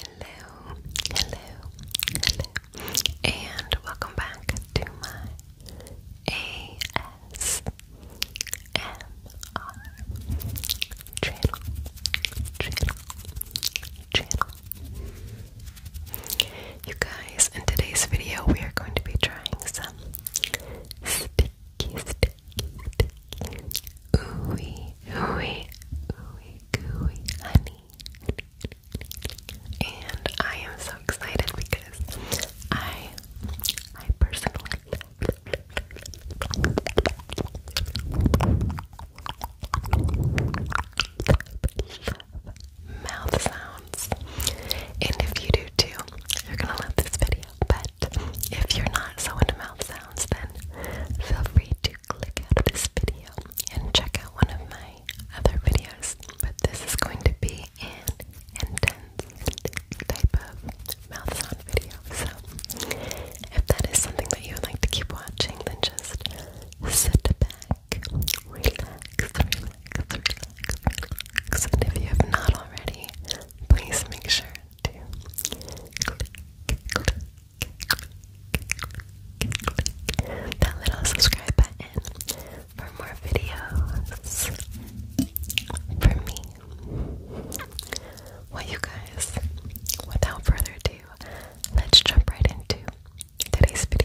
Hello, hello, hello, and welcome back to my ASMR channel, channel, channel. You guys, in today's video, we are going to be trying some sticky, sticky, sticky, ooey, ooey, ooey, gooey honey. And I am so excited because I, I personally mouth sounds. And if you do too, you're gonna love this video. But if you're not so into mouth sounds, then feel free to click out of this video and check out one of my other videos. But this is going to be an intense type of mouth sound video. So if that is something that you would like to keep watching, then just sit back, relax, relax, relax, And if you have not already, please make sure to click, click, click, click, click that little subscribe button for more videos from me well, you guys, without further ado, let's jump right into today's video.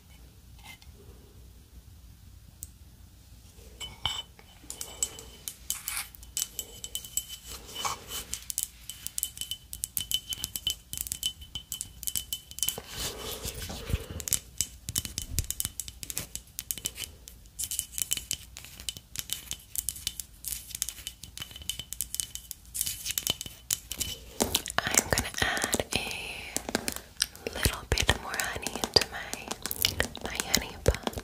I'm going to add a a little bit more honey into my my honey pot.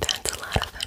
That's a lot of money.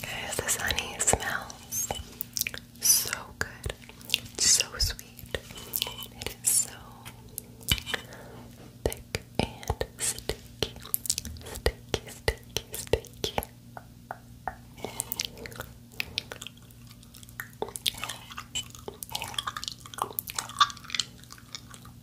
Guys, this honey smells so good, so sweet. It is so thick and sticky, sticky, sticky, sticky.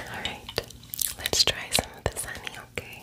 Alright, let's try some of the honey, okay?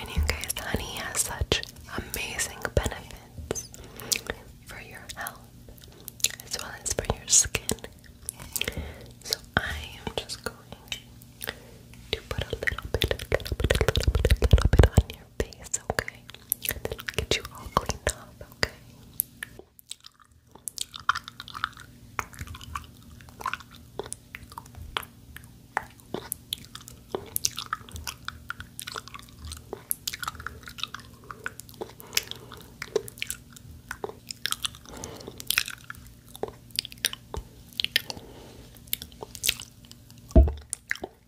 And you guys, honey has such amazing benefits for your health as well as for your skin. So I am just going to put a little bit, a little bit, a little bit, a little bit on your your okay? get you all cleaned up, Okay.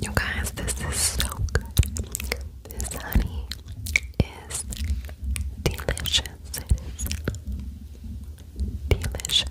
You guys, this is so good. This honey is delicious. delicious.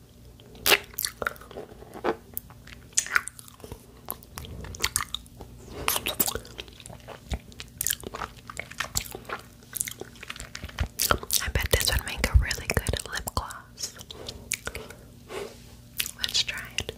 I bet this would make a really good lip gloss. Let's try it.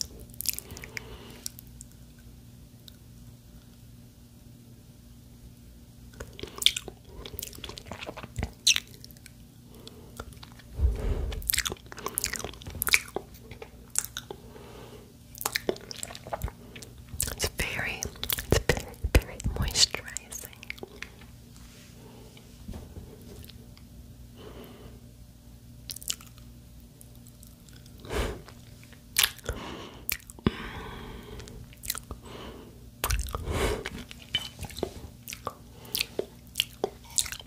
It's very, it's very, very moisturizing.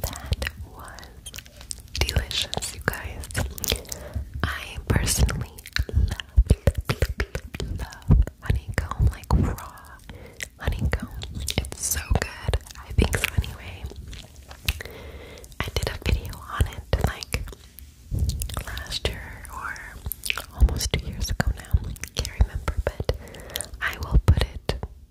That was delicious, you guys. I personally love, honeycomb, like raw honeycomb. It's so good. I think so, anyway. I did a video on it like last year or almost two years ago now. Can't remember, but I will put it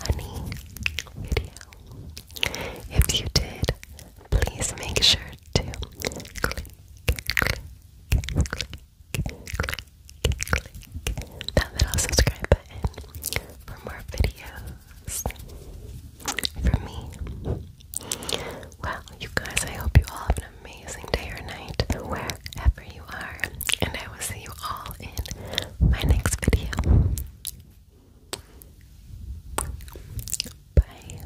Honey If you did, please make sure to click, that little subscribe button for more videos from me. Wow, you guys, I hope you all amazing day or night wherever you are, and I will see you all in my next video. Bye.